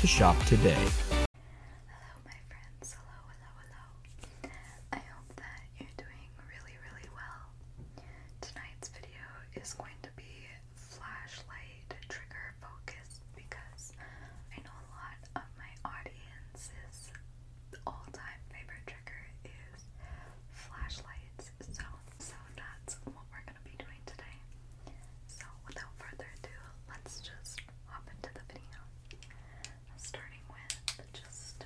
to shop today. Hello, my friends. Hello, hello, hello. I hope that you're doing really, really well. Tonight's video is going to be flashlight trigger focused because I know a lot of my audience's all time favorite trigger is flashlights. So, so that's what we're gonna going to be doing today. So, without further ado, let's just hop into the video. Starting with just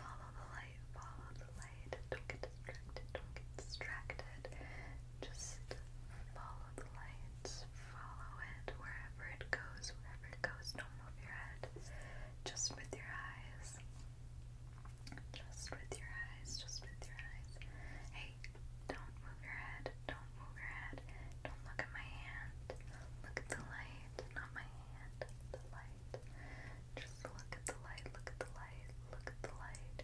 follow the light, follow the light. Don't get distracted, don't get distracted. Just follow the light, follow it wherever it goes, wherever it goes. Don't move your head, just with your eyes. Just with your eyes, just with your eyes. Hey, don't move your head. Don't move your head. Don't look at my hand. Look at the light. Not my hand. The light. Just look at the light. Look at the light. Look at the light.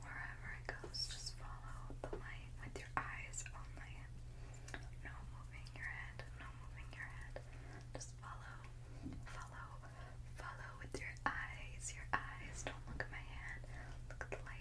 Wherever it goes, just follow the light with your eyes only. No moving your head. No moving your head. Just follow. Follow. Follow with your eyes. Your eyes. Don't look at my hand. Look at the light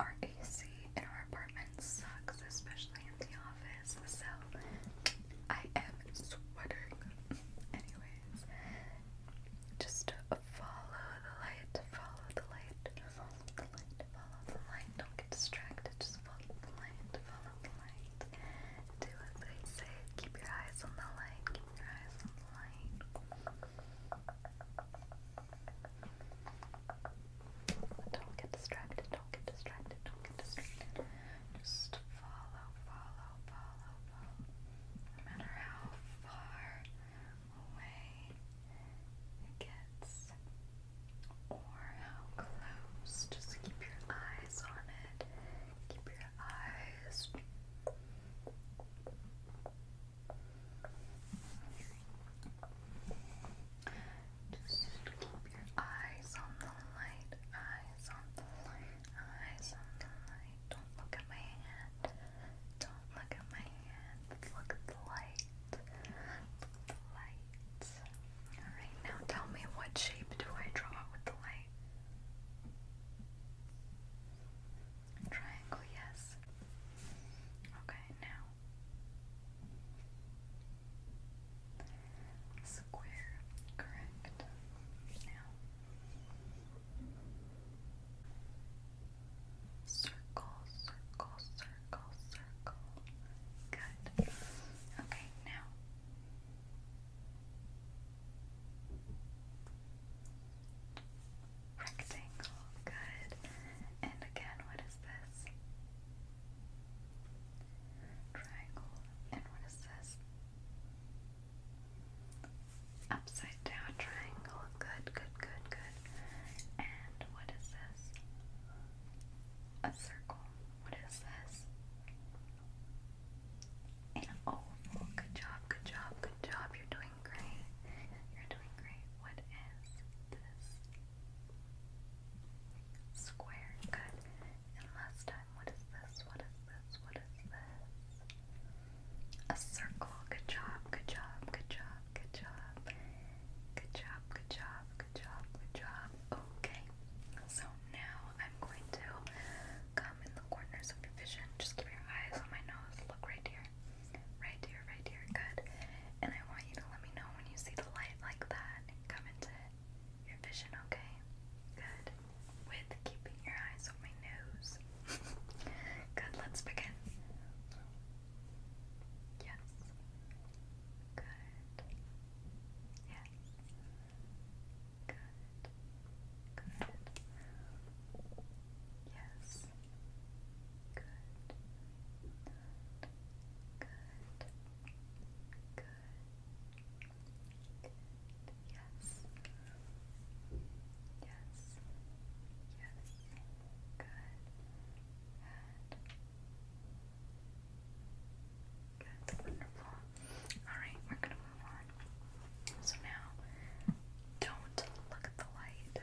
Our AC in our apartment sucks, especially in the office, so I am sweating. Anyways, just follow the light, follow the light, follow the light, follow the light. Don't get distracted, just follow the light, follow the light. Do as they say, keep your eyes on the light, keep your eyes on the light. Don't get distracted, don't get distracted, don't get distracted. Just follow, follow, follow, follow. No matter how far away it gets or how close, just keep your eyes on it. Keep your eyes. Just keep your eyes on the light, eyes on the light, eyes on the light. Don't look at my hand, don't look at my hand. Look at the light, look at the light. Alright, now tell me what shape do I draw with the light? Triangle, yes. Okay, now square, correct. Now circle, circle, circle, circle. Good. Okay, now rectangle. Good. And again, what is this? Triangle. And what is this? Upside down triangle. Good, good, good, good. And what is this? A circle. What is this? An oval. Good job, good job, good job. You're doing great. You're doing great. What is this? Square, good. And last time, what is this? What is this? What is this? A circle. Good job, good job, good job, good job. Good job, good job, good job, good job. Okay. So now I'm going to come in the corners of your vision. Just keep your eyes on my nose. Look right here here, right here, right here. Good. And I want you to let me know when you see the light like that come into your vision, okay? Good. With keeping your eyes on my nose. Good, let's begin. Yes. Good. Yes. Good. Good. Yes. Good. Good. Good. Yes. Yes. Yes. Good. Good. Wonderful. Alright, we're gonna move on. So now don't look at the light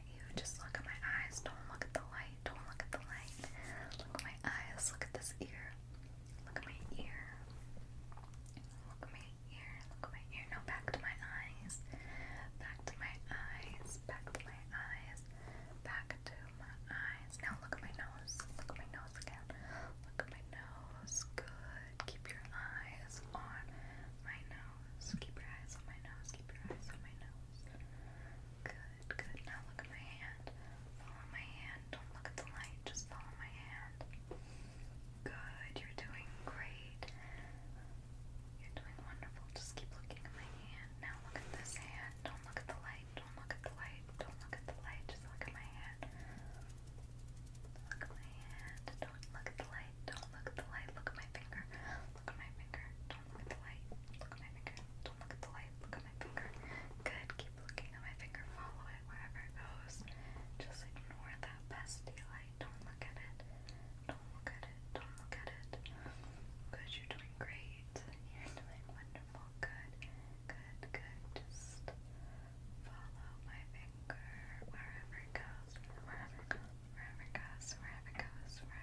you. Just look at my eyes. Don't look at the light. Don't look at the light. Look at my eyes. Look at this ear. Look at my ear. Look at my ear. Look at my ear. Now back to my eyes. Back to my eyes. Back to my eyes. Back to my eyes. Now look at my nose. Look at my nose again. Look at my nose. Good. Keep your eyes on my nose. Keep your eyes on my nose. Keep your eyes on my nose. Good. Good, Now look at my hand. Follow my hand. Don't look at the light. Just follow my hand. Good. You're doing great. You're doing wonderful. Just keep looking at my hand. Now look at this hand. Don't look at the light. Don't look at the light. Don't look at the light. Just look at my hand. Look at my hand. Don't look at the light. Don't look at the light. Look at my finger. Look at my finger. Look at the light. Look at my finger. Don't look at the light. Look at my finger. Good. Keep looking at my finger. Follow it wherever it goes. Just ignore that bestie light. Don't look at it. Don't look at it. Don't look at it. Good. You're doing great. You're doing wonderful. Good. Good. Good. Just follow my finger wherever it goes. Wherever it goes. Wherever it goes. Wherever it goes. Wherever it goes. Wherever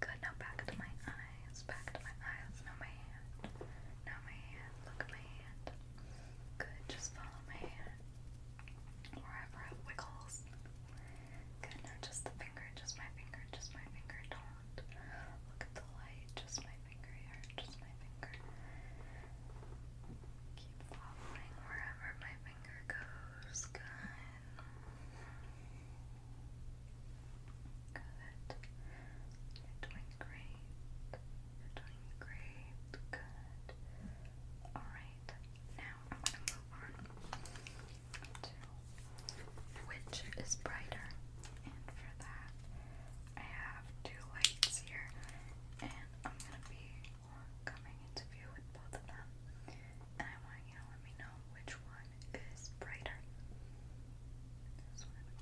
Good, now back to my eyes, back to my eyes, now my hand, now my hand, look at my hand. Good, just follow my hand, wherever it wiggles. Good, now just the finger, just my finger, just my finger, don't look at the light, just my finger here, just my finger. Keep following wherever my finger goes, good. Good. You're doing great. You're doing great. Good. Alright. Now I'm gonna move on to which is brighter. And for that I have two lights here and I'm gonna be coming into view with both of them you let me know which one is brighter.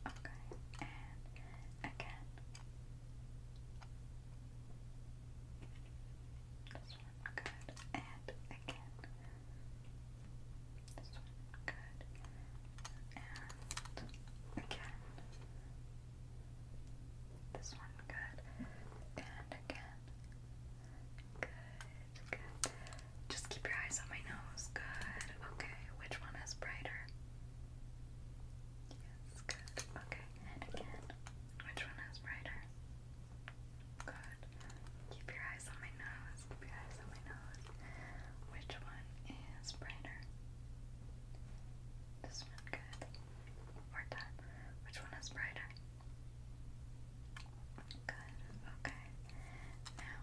okay. And again, this one, good. And again, this one, good. And again, this one, good. And again, good. Just keep your eyes on my nose. Good. Okay. Which one is brighter? Yes. Good. Okay. again. Which one is brighter? Good. Keep your eyes on my nose. Keep your eyes on my nose. Which one is brighter? This one. Good. One more time. Which one is brighter? Good, okay. Now,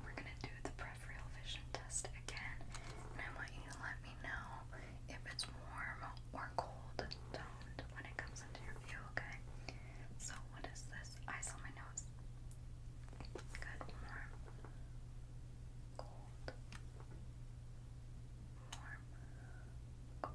we're gonna do the peripheral vision test again, and I want you to let me know if it's warm or cold toned when it comes into your view, okay? So, what is this? Eyes on my nose. Good, warm. Cold. Warm. Cold. Warm.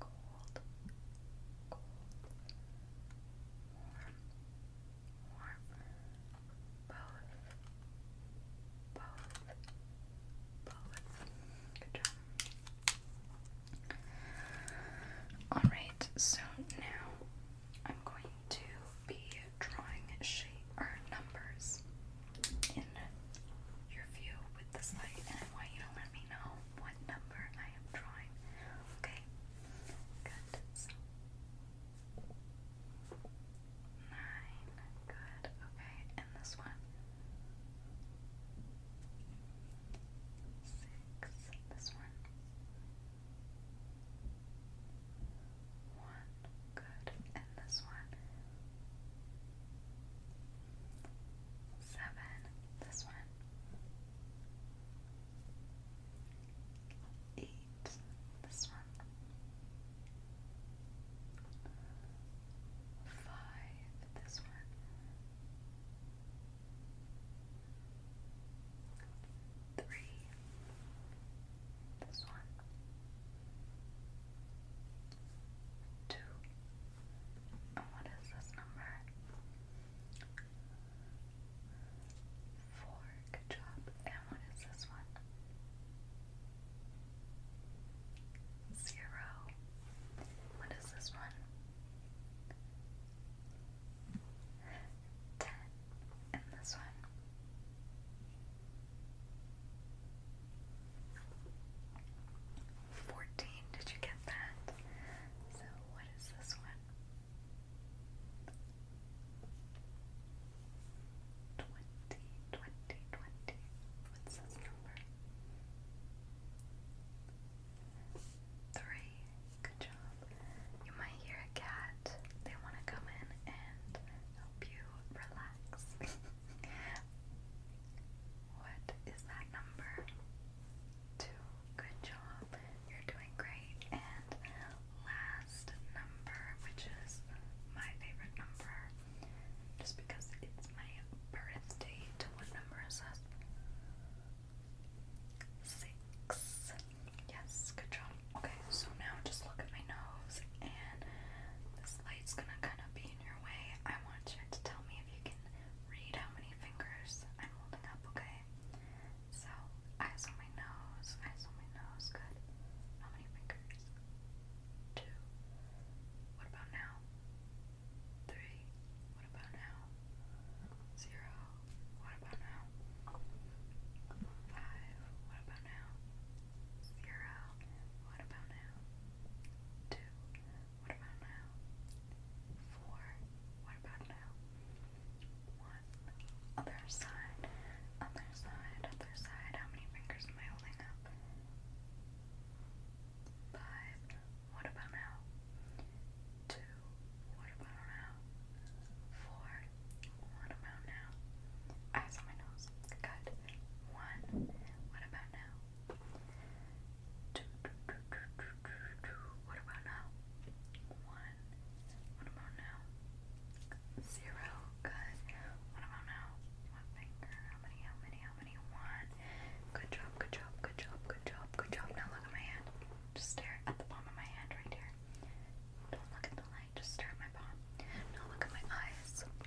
cold, cold, warm, warm, both, both, both. Good job. Alright, so now I'm going to be drawing shapes or numbers in your view with this light, and I want you to let me know what number I am drawing. Okay? Good. nine. Good. Okay. And this one. Six. This one. One. Good. And this one seven. This one. Eight. This one. Five. This one. Three. This one. Two what is this number? Four, good job. And what is this one? Zero. What is this one? Ten. And this one? 14. Did you get that? So, what is this one? 20, What's this number? 3. Good job. You might hear a cat. They want to come in and help you relax. What is that number? Two. Good job. You're doing great. And last number, which is my favorite number, just because it's my birthday. what number is that? Six. Yes, good job. Okay, so now just look at my nose, and this light's gonna kind of be in your way. I want you to tell me if you can read how many fingers I'm holding up, okay? So, eyes on my nose, eyes on my nose, good. How many fingers? Two. What about now? Three. What about now? Zero. What about now? Five. What about now? Zero. What about now? Two. What about now? Four. What about now? One. Other side. Other side. Other side. How many fingers am I holding up? Five. What about now? Two. What about now? Four. What about now? Eyes on my nose. Good. One. What about now? What about now? One. What about now? Zero. Good. What about now? One finger. How many? How many? How many? One. Good job. Good job. Good job. Good job. Good job. Now look at my hand. Just stare at the palm of my hand right here. Don't look at the light. Just stare at my palm. Now look at my eyes.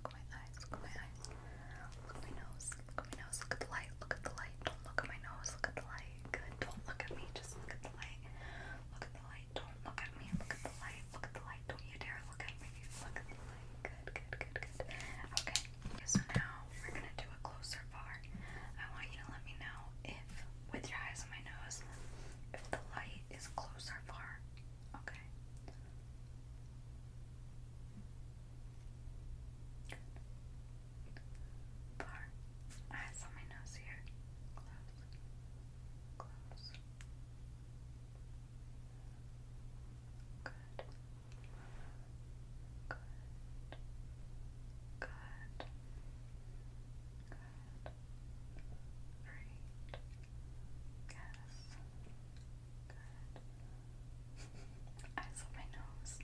look at my eyes, look at my eyes, look at my nose, look at my nose, look at the light, look at the light, don't look at my nose, look at the light, good, don't look at me, just look at the light, look at the light, don't look at me, look at the light, look at the light, don't you dare look at me, look at the light, good, good, good, good, okay, so now we're gonna do a closer bar, I want you to let me know if, with your eyes on my nose, if the light is close far, okay? Bar. Ah, it's on my nose here. Close. Close. Good. Good. Good. Good. Great. Yes. Good. I my nose.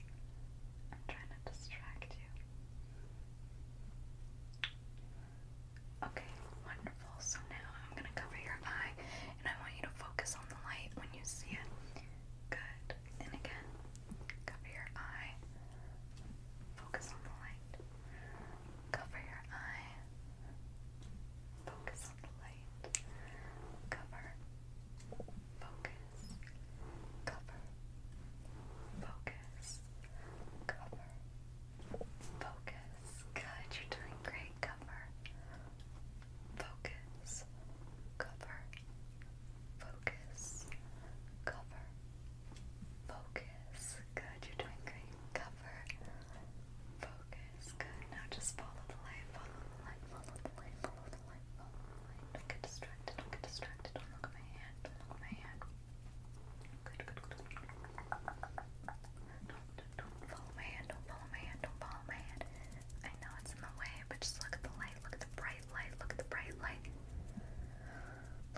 I'm trying to distract you. Okay, wonderful. So now I'm gonna cover your eye and I want you to focus on the light when you see it. Good. And again, cover your eye. Focus on the light. Cover your eye. Focus on the light light. Cover. Focus. Cover. Focus. Cover. Focus. God, you're doing great. Cover. Focus. Cover. Focus. Cover. Focus. Good, you're doing great. Cover. Focus. Good. Now just follow the light. Follow the light. Follow the light. Follow the light. Follow the light. Don't get distracted. Don't get distracted. Don't look at my hand. Don't look at my hand. Good. Good. Good. Don't, don't my hand. Don't follow my hand. Don't follow my hand. I know it's in the way, but just look at the light. Look at the bright light. Look at the bright light.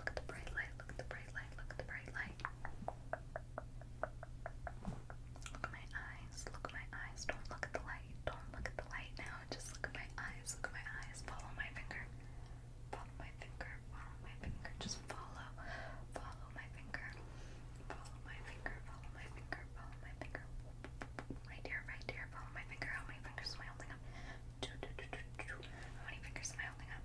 Look at the bright light. Look at the bright light. Look at the bright light. Look at my eye eyes. Look at my eyes. Don't look at the light. Don't look at the light now. Just look at my eyes. Look at my eyes. Follow my finger. Follow my finger. Follow my finger. Just follow. Follow my finger. Follow my finger. Follow my finger. Follow my finger. Right here. Right here. Follow my finger. How many fingers am I holding up? Two. two, two, two, two. How many fingers am I holding up?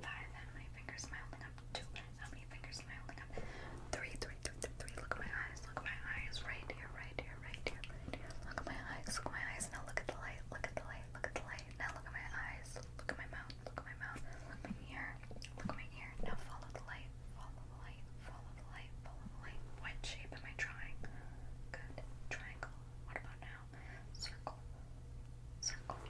Five. How many fingers am I holding up? Two. How many fingers? three, three, three, three, three. Look at my eyes, look at my eyes, right here, right here, right here, Look at my eyes, look at my eyes. Now look at the light, look at the light, look at the light. Now look at my eyes, look at my mouth, look at my mouth, look my ear, look my ear. Now follow the light, follow the light, follow the light, follow the light. What shape am I drawing? Good. Triangle. What about now? Circle. Circle.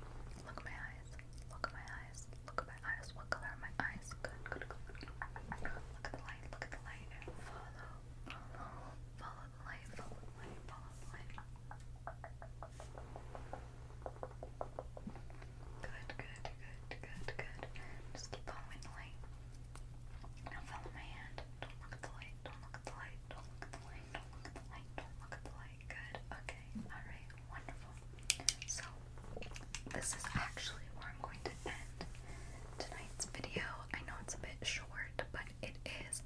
Look at my eyes. Look at my eyes. Look at at my eyes. What color are my eyes? Good, good, good. Look at the light, look at the light. Follow, follow, follow the light, follow the light, follow the light. Good, good, good, good, good. Just keep following the light. Now follow my hand. Don't look at the light, don't look at the light, don't look at the light, don't look at the light, don't look at the light. Good, okay, alright, wonderful. So, this is actually where I'm going to end tonight's video. I know it's a bit short, but it is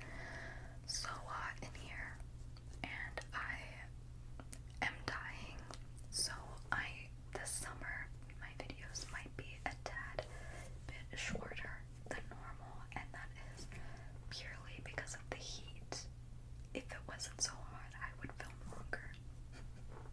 so hot uh, in here, and I am dying. So, I this summer my videos might be a tad bit shorter than normal, and that is purely because of the heat. If it wasn't so hot, I would film longer.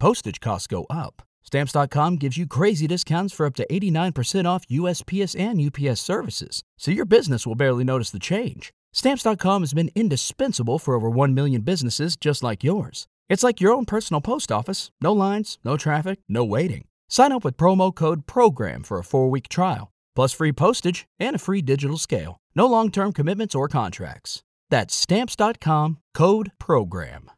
Postage costs go up. Stamps.com gives you crazy discounts for up to 89% off USPS and UPS services, so your business will barely notice the change. Stamps.com has been indispensable for over 1 million businesses just like yours. It's like your own personal post office no lines, no traffic, no waiting. Sign up with promo code PROGRAM for a four week trial, plus free postage and a free digital scale. No long term commitments or contracts. That's Stamps.com code PROGRAM.